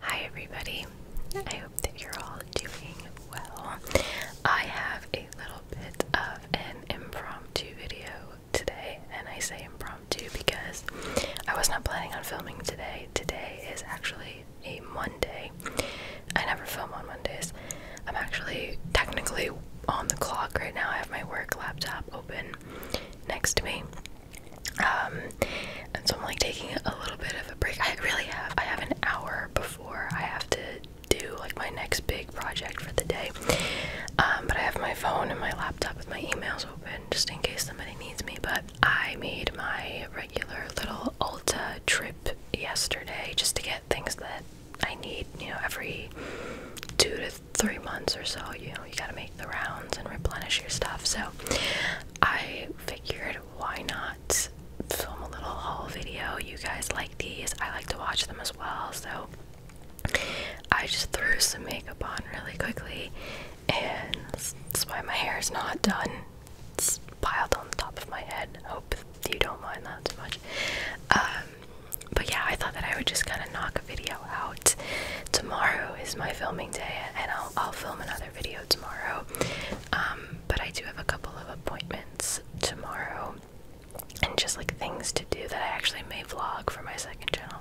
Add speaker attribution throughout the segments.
Speaker 1: Hi, everybody. I hope that you're all doing well. I have a little bit of an impromptu video today, and I say impromptu because I was not planning on filming today. Today is actually a Monday. I never film on Mondays. I'm actually technically on the clock right now. I have my work laptop open next to me. Um, and so I'm like taking a little bit of a break. I really have. I have an hour before I have to do like my next big project for the day. Um, but I have my phone and my laptop with my emails open just in case somebody needs me. But I made my regular little Ulta trip yesterday just to get things that I need, you know, every two to three months or so, you know, you gotta make the rounds and replenish your stuff. So I figured why not film a little haul video. You guys like these, I like to watch them as well, so I just threw some makeup on really quickly and that's why my hair is not done it's piled on the top of my head. Hope you don't mind that too much. Um, but yeah, I thought that I would just kind of knock a video out. Tomorrow is my filming day, and I'll, I'll film another video tomorrow. Um, but I do have a couple of appointments tomorrow, and just like things to do that I actually may vlog for my second channel,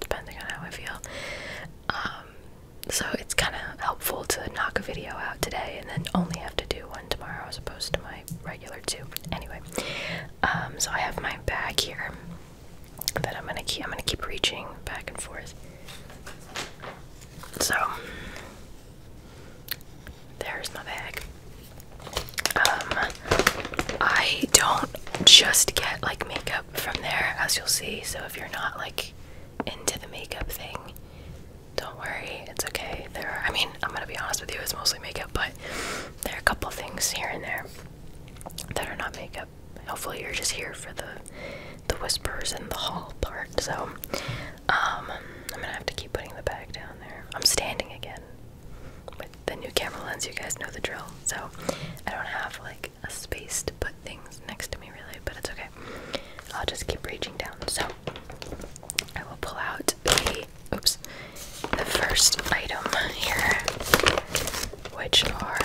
Speaker 1: depending on how I feel. Um, so it's kind of helpful to knock a video out today and then only have to do one tomorrow as opposed to my regular two. Anyway, um, so I have my bag here that I'm gonna keep. I'm gonna keep reaching back and forth. So there's my bag. Um, I don't just get like makeup from there, as you'll see. So if you're not like into the makeup thing, don't worry, it's okay. There I mean, I'm gonna be honest with you, it's mostly makeup, but there are a couple things here and there that are not makeup. Hopefully, you're just here for the the whispers and the hall part. So, um, I'm gonna have to keep putting the bag down there. I'm standing again with the new camera lens. You guys know the drill. So, I don't have like a space to put things next to me really, but it's okay. I'll just keep reaching down. So I will pull out the oops the first item here, which are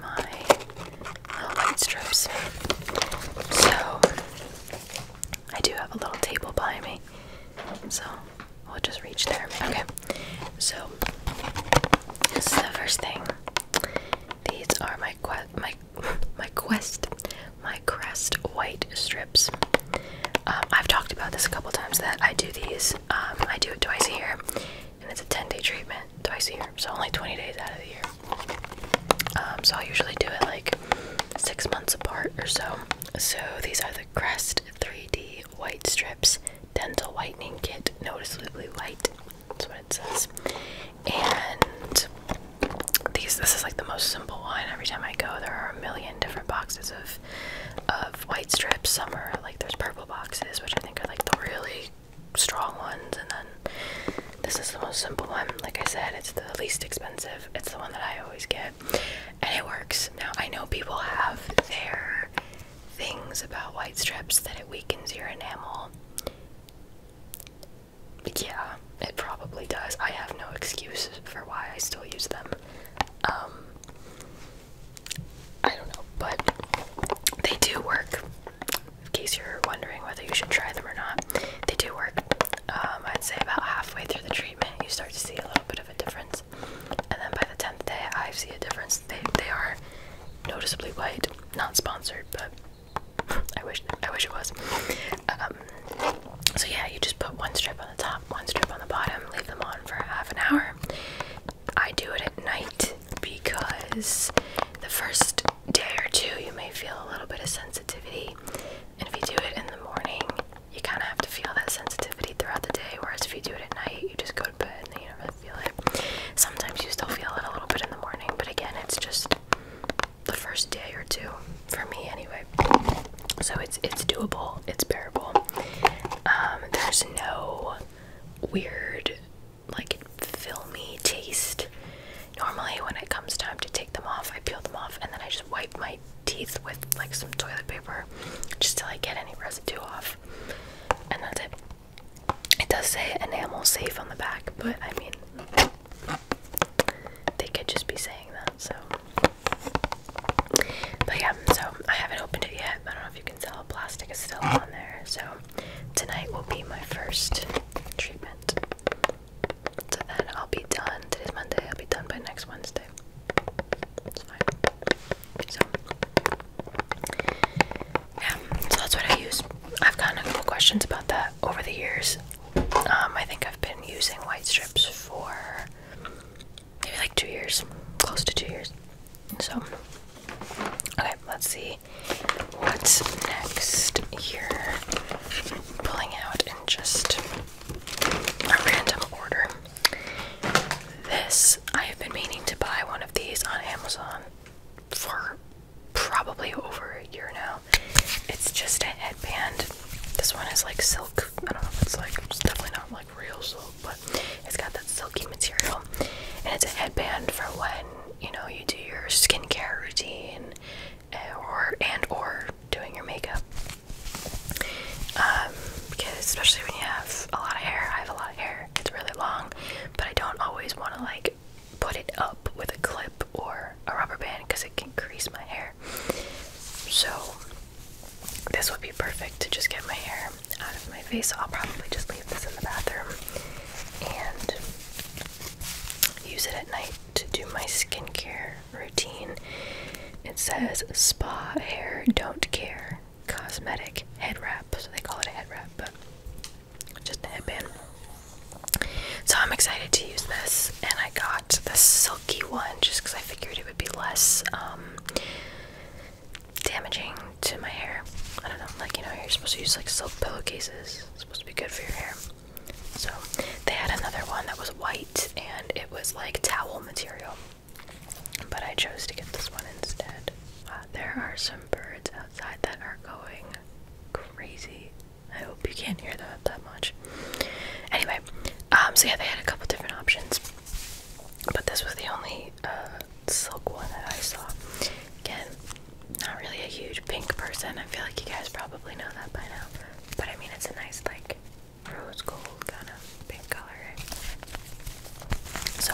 Speaker 1: my little strips. So I do have a little table by me, so we'll just reach there. Okay, so this is the first thing. These are my quest, my my quest my Crest white strips. Um, I've talked about this a couple times that I do these. Um, I do it twice a year, and it's a 10 day treatment twice a year, so only 20 days out of the year. Um, so I usually do it like six months apart or so. So these are the Crest 3D white strips dental whitening kit, noticeably white. That's what it says and these this is like the most simple one. Every time I go, there are a million different boxes of of white strips. Some are like there's purple boxes, which I think are like the really strong ones, and then this is the most simple one. Like I said, it's the least expensive. It's the one that I always get, and it works. Now I know people have their things about white strips that it weakens your enamel yeah, it probably does. I have no excuse for why I still use them. Um, I don't know, but they do work. In case you're wondering whether you should try them or not, they do work. Um, I'd say about halfway through the treatment, you start to see a little bit of a difference, and then by the tenth day, I see a difference. They they are noticeably white. Not sponsored, but I wish I wish it was. Um, so yeah, you just put one strip on the top, one strip on the bottom, leave them on for half an hour. I do it at night because the first day or two you may feel a little bit of sensitivity, and if you do it in the morning, you kind of have to feel that sensitivity throughout the day. Whereas if you do it at night, you just go to bed and then you don't feel it. Sometimes you still feel it a little bit in the morning, but again, it's just the first day or two for me anyway. So it's it's doable, it's bearable. Um, there's no weird like filmy taste. Normally when it comes time to take them off, I peel them off and then I just wipe my teeth with like some toilet paper just till I get any residue off. And that's it. It does say enamel safe on the back, but I mean they could just be saying that, so. But yeah, so I haven't opened it yet. I don't know if you can tell, plastic is still on there. So tonight will be my first treatment. So then I'll be done. Today's Monday, I'll be done by next Wednesday. It's fine. So, yeah, so that's what I use. I've gotten a couple questions about that over the years. Um, I think I've been using white strips for maybe like two years, close to two years. So, okay, let's see what's next here. Pulling out in just a random order. This, I have been meaning to buy one of these on Amazon for probably over a year now. It's just a headband. This one is like silk. I don't know if it's like, it's definitely not like real silk, but it's got that silky material. And it's a headband for when, you know, you do your skincare routine eh, or and or doing your makeup. Um, because especially when you have a lot of hair, I have a lot of hair, it's really long, but I don't always want to like put it up with a clip or a rubber band because it can crease my hair. So this would be perfect to just get my hair out of my face. I'll probably just leave this in the bathroom and use it at night to do my skincare routine. It says spa hair don't care cosmetic head wrap, so they call it a head wrap, but just a headband. So I'm excited to use this, and I got the silky one just because I figured it would be less um, damaging to my hair. I don't know, like you know, you're supposed to use like silk pillowcases. supposed to be good for your hair. So they had another one that was white, and it was like towel material. But I chose to get this one instead. Uh, there are some birds outside that are going crazy. I hope you can't hear that that much. Anyway, um, so yeah, they had a couple different options, but this was the only uh, silk one that I saw. Again, not really a huge pink person. I feel like you guys probably know that by now, but I mean, it's a nice like rose gold kind of pink color. So,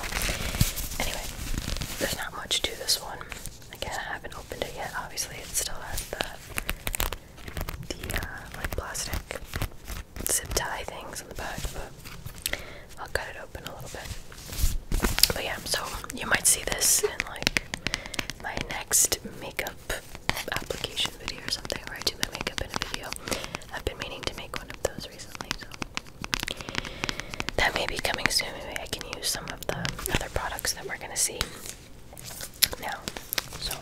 Speaker 1: anyway, there's not much to this one. Again, I haven't opened it yet. Obviously, it still has the the uh, like plastic zip tie things on the back, but I'll cut it open a little bit. But yeah, so you might see this in like my next makeup application video or something, where I do my makeup in a video. I've been meaning to make one of those recently, so that may be coming soon. Maybe I can use some of the other products that we're gonna see now. So,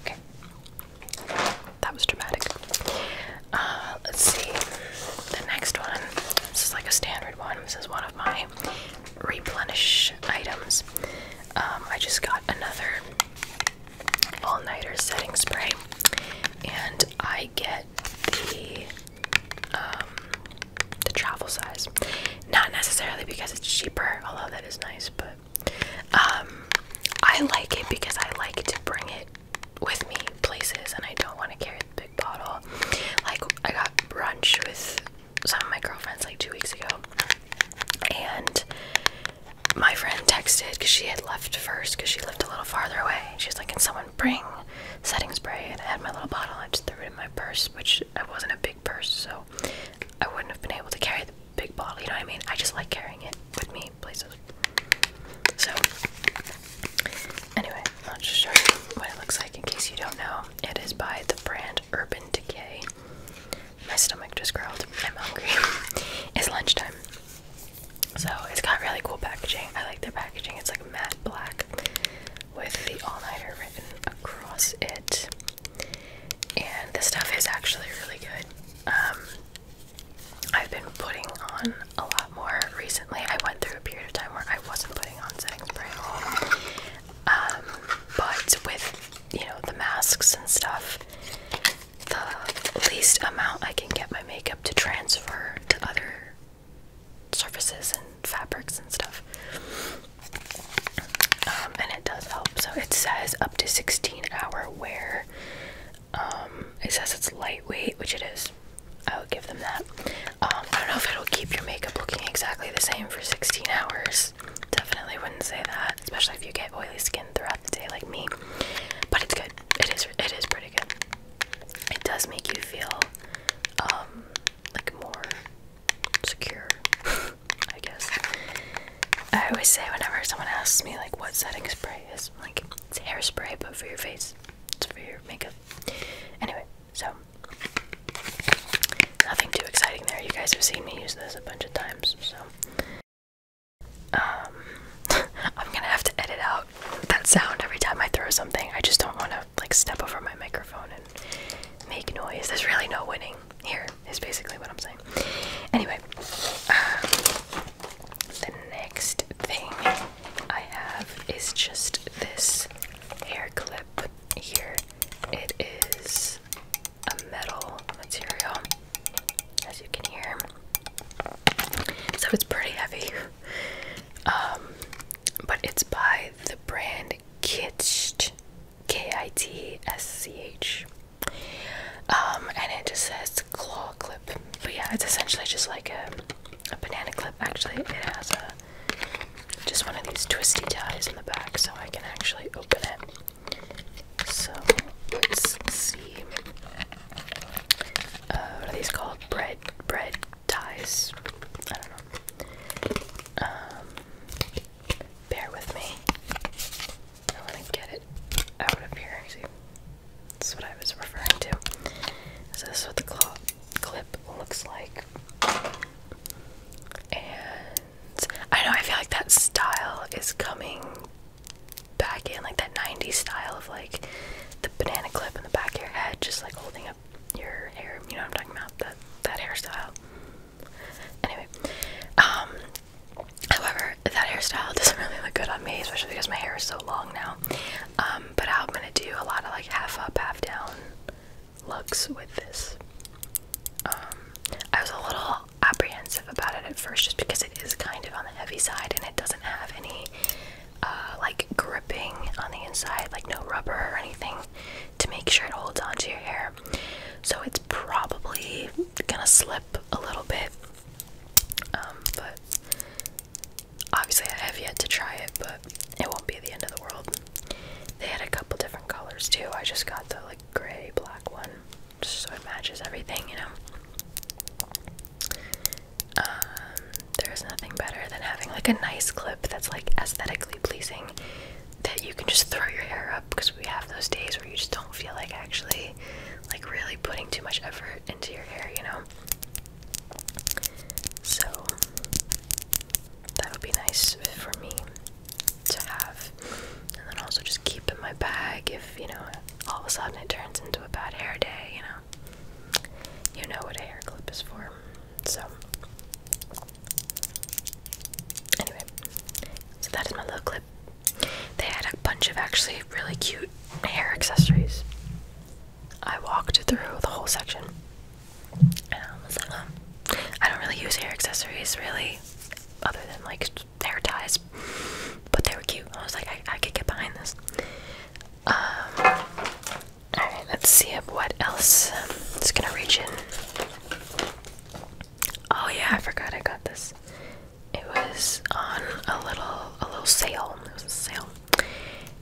Speaker 1: okay, that was dramatic. Uh, let's see the next one. This is like a standard one. This is one of my replenish items. Um, I just got another all nighter setting spray, and I get the um, the travel size. Not necessarily because it's cheaper, although that is nice, but um, I like it because I like to bring it with me places and I don't want to carry the big bottle. Like, I got brunch with some of my girlfriends like two weeks ago, and my friend texted because she had left first because she lived a little farther away. She was like, Can someone bring setting spray and I had my little bottle I just threw it in my purse, which I wasn't a big purse, so I wouldn't have been able to carry the big bottle, you know what I mean? I just like carrying it with me places. So anyway, I'll just show you what it looks like in case you don't know. It is by the brand Urban Decay. My stomach just growled. I'm hungry. it's lunchtime. So it's got really cool packaging. I like their packaging. It's like matte black with the all-nighter written across it. And the stuff is actually really good. Um, I've been putting on a lot more recently. I went through a period of time where I wasn't putting on setting spray. Um, but with, you know, the masks and stuff, the least amount I can get my makeup to transfer to other surfaces and fabrics and stuff. Um, and it does help. So it says up to 16 hour wear. Um, it says it's lightweight, which it is. I would give them that. Um, I don't know if it'll keep your makeup looking exactly the same for 16 hours. Definitely wouldn't say that, especially if you get oily skin throughout the day like me. But it's good. It is. It is pretty good it does make you feel um, like more secure, I guess. I always say whenever someone asks me like what setting spray is, like it's hairspray but for your face. It's for your makeup. Anyway, so nothing too exciting there. You guys have seen me use this a bunch of times, so um, I'm gonna have to edit out that sound every time I throw something. I just don't wanna like step over my microphone and make noise. There's really no winning here, is basically what I'm saying. Anyway, uh, the next thing I have is just this hair clip here. It is a metal material, as you can hear. So it's pretty heavy. Um, but it's by the brand Kitsch, K-I-T-S-C-H, um, and it just says claw clip. But yeah, it's essentially just like a, banana clip. Actually, it has a just one of these twisty ties in the back, so I can actually open it. So let's see. Uh, what are these called? Bread, bread ties. I don't know. Um, bear with me. I want to get it out of here. Actually, that's what I was referring to. So this is what the clip looks like. And I know I feel like that style is coming back in, like that '90s style of like the banana clip in the back of your head, just like holding up your hair. You know what I'm talking about? That that hairstyle. Anyway, um, however, that hairstyle doesn't really look good on me, especially because my hair is so long now. Um, but I'm gonna do a lot of like half up, half down looks with this. Um, I was a little apprehensive about it at first, just because it is kind of on the heavy side and it doesn't have any uh, like gripping on the inside, like no rubber or anything, to make sure it holds onto your hair. So it's probably gonna slip a little bit, um, but obviously I have yet to try it, but it won't be the end of the world. They had a couple different colors too. I just got the like gray black one, just so it matches everything, you know. Um, there's nothing better than having like a nice clip that's like aesthetically pleasing that you can just throw your hair up because we have those days where you just don't feel like actually like really putting too much effort into your hair, you know. So that would be nice for me to have. And then also just keep in my bag if, you know, all of a sudden it turns into a bad hair day, you know. You know what a hair clip is for. So anyway, so that is my little clip. They had a bunch of actually really cute hair accessories. I walked through the whole section, and I was like, I don't really use hair accessories really, other than like hair ties. But they were cute. I was like, I, could get behind this. Um, Alright, let's see what else. Um, i gonna reach in. Oh yeah, I forgot I got this. It was on a little a little sale. sale.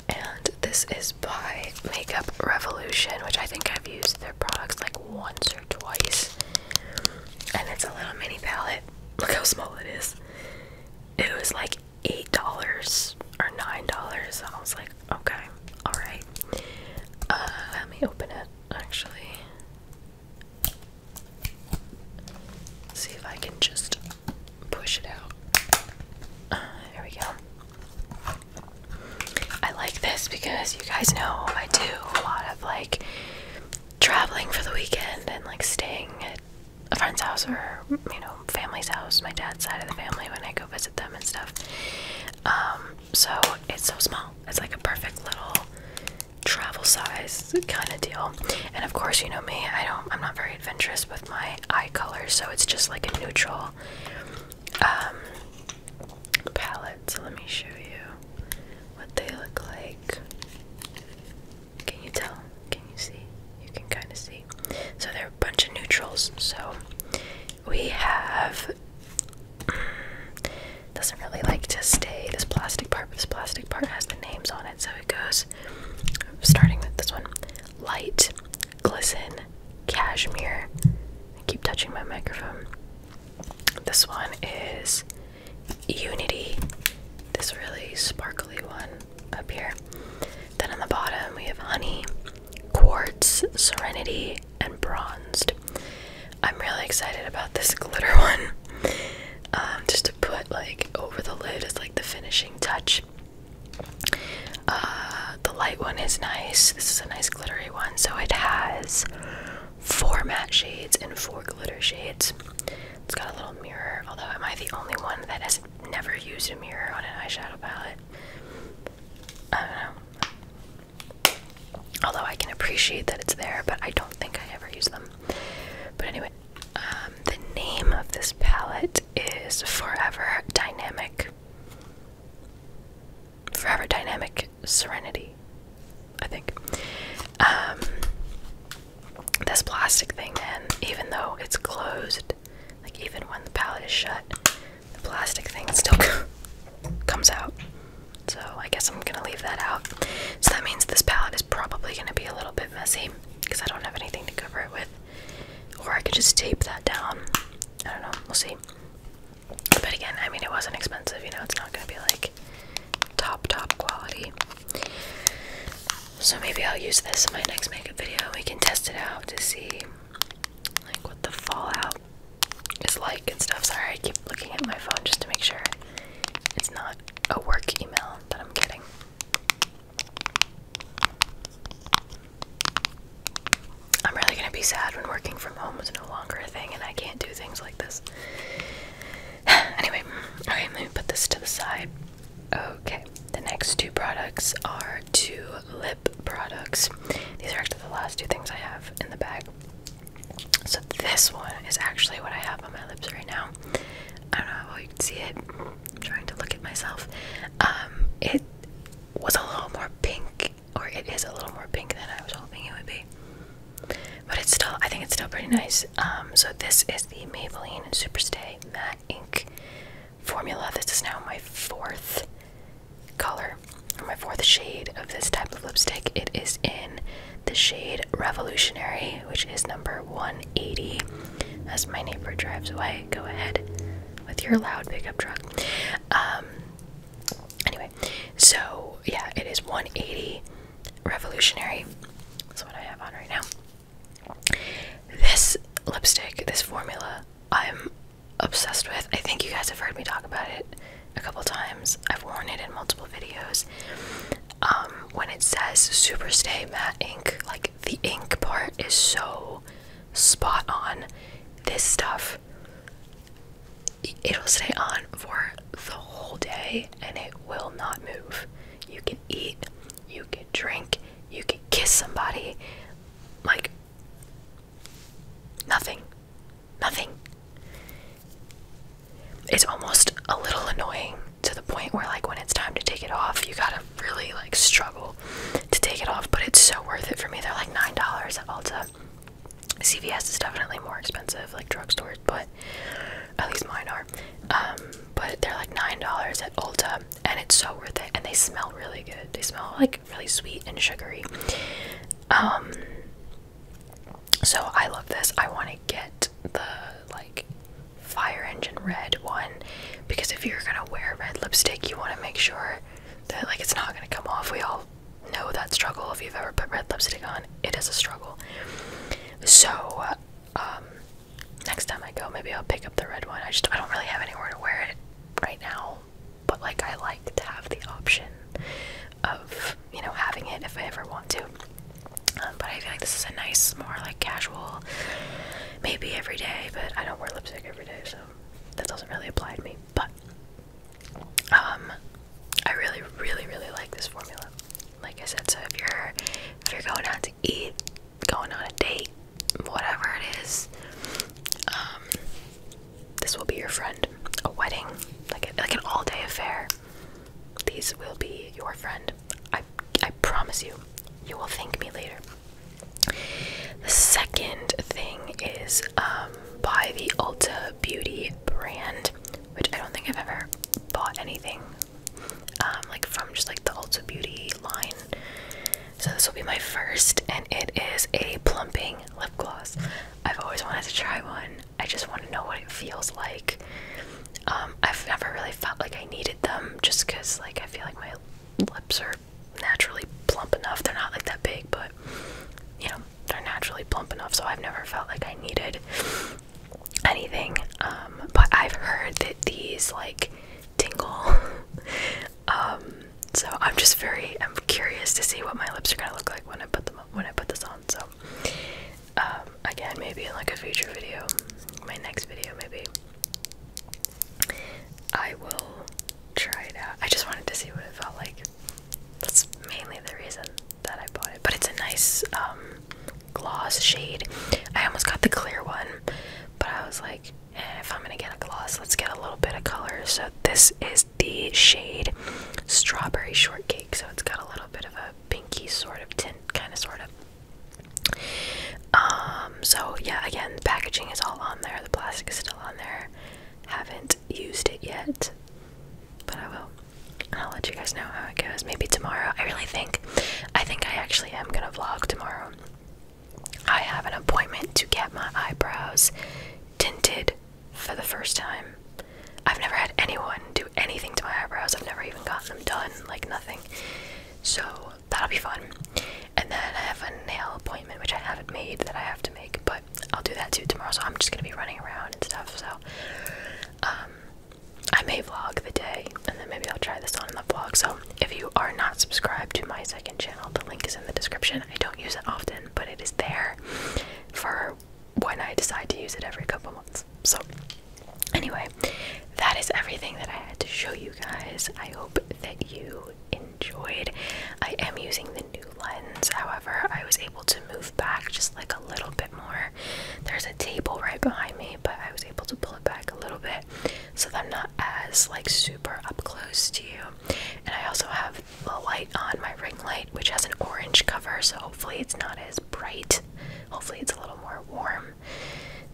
Speaker 1: And this is by Makeup Revolution, which I think I've used their products like once or twice. And it's a little mini palette. Look how small it is. It was like eight dollars or nine dollars. I was like, okay, all right. Uh, let me open it actually. See if I can just push it out. Uh, there we go. I like this because you guys know I do a lot of like traveling for the weekend and like staying a friend's house or you know family's house, my dad's side of the family when I go visit them and stuff. Um, so it's so small. It's like a perfect little travel size kind of deal. And of course, you know me. I don't. I'm not very adventurous with my eye colors, so it's just like a neutral um, palette. So let me show you what they look like. Can you tell? Can you see? You can kind of see. So they are a bunch of neutrals. So we have. Mm, doesn't really like to stay this plastic part, but this plastic part has the names on it. So it goes starting with this one light, glisten, cashmere. I keep touching my microphone. This one is Unity. This really sparkly one up here. Then on the bottom, we have honey, quartz, serenity, and bronzed. I'm really excited about this glitter one. Um, just to put like over the lid as like the finishing touch. Uh, the light one is nice. This is a nice glittery one. So it has four matte shades and four glitter shades. It's got a little mirror, although am I the only one that has never used a mirror on an eyeshadow palette? I don't know. Although I can appreciate that it's there, but I don't think I ever use them. But anyway, um, the name of this palette is Forever Dynamic. Forever Dynamic Serenity, I think. Um, this plastic thing, man, even though it's closed, like even when the palette is shut, the plastic thing still comes out. So I guess I'm gonna leave that out. So that means this palette is probably gonna be a little bit messy because I don't have anything to cover it with. Or I could just tape that down. I don't know, we'll see. But again, I mean, it wasn't expensive, you know, it's not gonna be like top, top quality. So maybe I'll use this in my next makeup video. We can test it out to see like what the fallout is like and stuff. Sorry, I keep looking at my phone just to make sure it's not a work email that I'm getting. I'm really gonna be sad when working from home is no longer a thing and I can't do things like this. anyway, okay, let me put this to the side. Okay, the next two products are two lip products. These are actually the last two things I have in the bag. So, this one is actually what I have on my lips right now. I don't know how you can see it. I'm trying to look at myself. Um, it was a little more pink, or it is a little more pink than I was hoping it would be. But it's still, I think it's still pretty nice. Um, so, this is the Maybelline Superstay Matte Ink formula. This is now my fourth color, or my fourth shade of this type of lipstick. It is in the shade Revolutionary, which is number 180. As my neighbor drives away, go ahead with your loud pickup truck. Um, anyway, so yeah, it is 180 Revolutionary. That's what I have on right now. This lipstick, this formula, I'm obsessed with. I think you guys have heard me talk about it a couple times. I've worn it in multiple videos. Um, when it says Super Stay Matte Ink, like the ink part is so spot on. This stuff, it'll stay on for the whole day and it will not move. You can eat, you can drink, you can kiss somebody, like, nothing. Nothing. It's almost a little annoying to the point where, like, when it's time to take it off, you gotta really, like, struggle to take it off, but it's so worth it for me. They're like $9 at Ulta. CVS is definitely more expensive, like drugstores, but at least mine are. Um, but they're like $9 at Ulta and it's so worth it and they smell really good they smell like really sweet and sugary um so i love this i want to get the like fire engine red one because if you're gonna wear red lipstick you want to make sure that like it's not gonna come off we all know that struggle if you've ever put red lipstick on it is a struggle so um next time I go, maybe I'll pick up the red one. I just I don't really have anywhere to wear it right now, but like I like to have the option of you know having it if I ever want to. Um, but I feel like this is a nice, more like casual, maybe every day. But I don't wear lipstick every day, so that doesn't really apply to me. But um, I really, really, really like this formula. Like I said, so if you're if you're going out to eat going on a date, whatever it is. Um, this will be your friend. A wedding, like like an all-day affair. These will be your friend. I I promise you, you will thank me later. The second thing is um, by the Ulta Beauty brand, which I don't think I've ever bought anything um, like from just like the Ulta Beauty line. So this will be my first, and it is a plumping lip gloss. I've always wanted to try one. I just want to know what it feels like. Um, I've never really felt like I needed them, just cause like I feel like my lips are naturally plump enough. They're not like that big, but you know they're naturally plump enough. So I've never felt like I needed anything. Um, but I've heard that these like tingle. Um, so I'm just very I'm curious to see what my lips are gonna look like when I put them when I put this on. So um, again, maybe in like a future video, my next video maybe I will try it out. I just wanted to see what it felt like. That's mainly the reason that I bought it. But it's a nice um, gloss shade. I almost got the clear one, but I was like, and if I'm gonna get a gloss, let's get a little bit of color. So this is the shade Strawberry Shortcake. So it's got a little bit of a pinky sort of tint, kind of sort of. Um, so yeah, again, the packaging is all on there. The plastic is still on there. Haven't used it yet, but I will. I'll let you guys know how it goes. Maybe tomorrow. I really think, I think I actually am gonna vlog tomorrow. I have an appointment to get my eyebrows tinted for the first time. I've never had anyone do anything to my eyebrows. I've never even gotten them done, like nothing. So that'll be fun. And then I have a nail appointment, which I haven't made that I have to make, but I'll do that too tomorrow. So I'm just gonna be running around and stuff. So um, I may vlog the day, and then maybe I'll try this on in the vlog. So if you are not subscribed to my second channel, the link is in the description. I don't use it often, but it is there for when I decide to use it every couple months. So, anyway, that is everything that I had to show you guys. I hope that you enjoyed. I am using the new lens, however, I was able to move back just like a little bit more. There's a table right behind me, but I was able to pull it back a little bit so I'm not as like super up close to you. And I also have the light on my ring light, which has an orange cover, so hopefully it's not as bright. Hopefully it's a little more warm.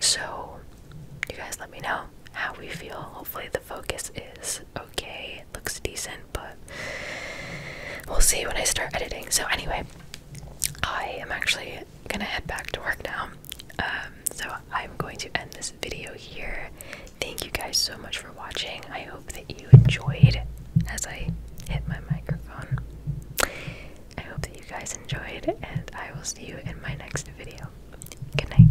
Speaker 1: So you guys let me know how we feel. Hopefully the focus is okay. It looks decent, but we'll see when I start editing. So anyway, I am actually actually gonna head back to work now. Um, so I'm going to end this video here. Thank you guys so much for watching. I hope that you enjoyed as I hit my microphone. I hope that you guys enjoyed, and I will see you in my next video. Good night.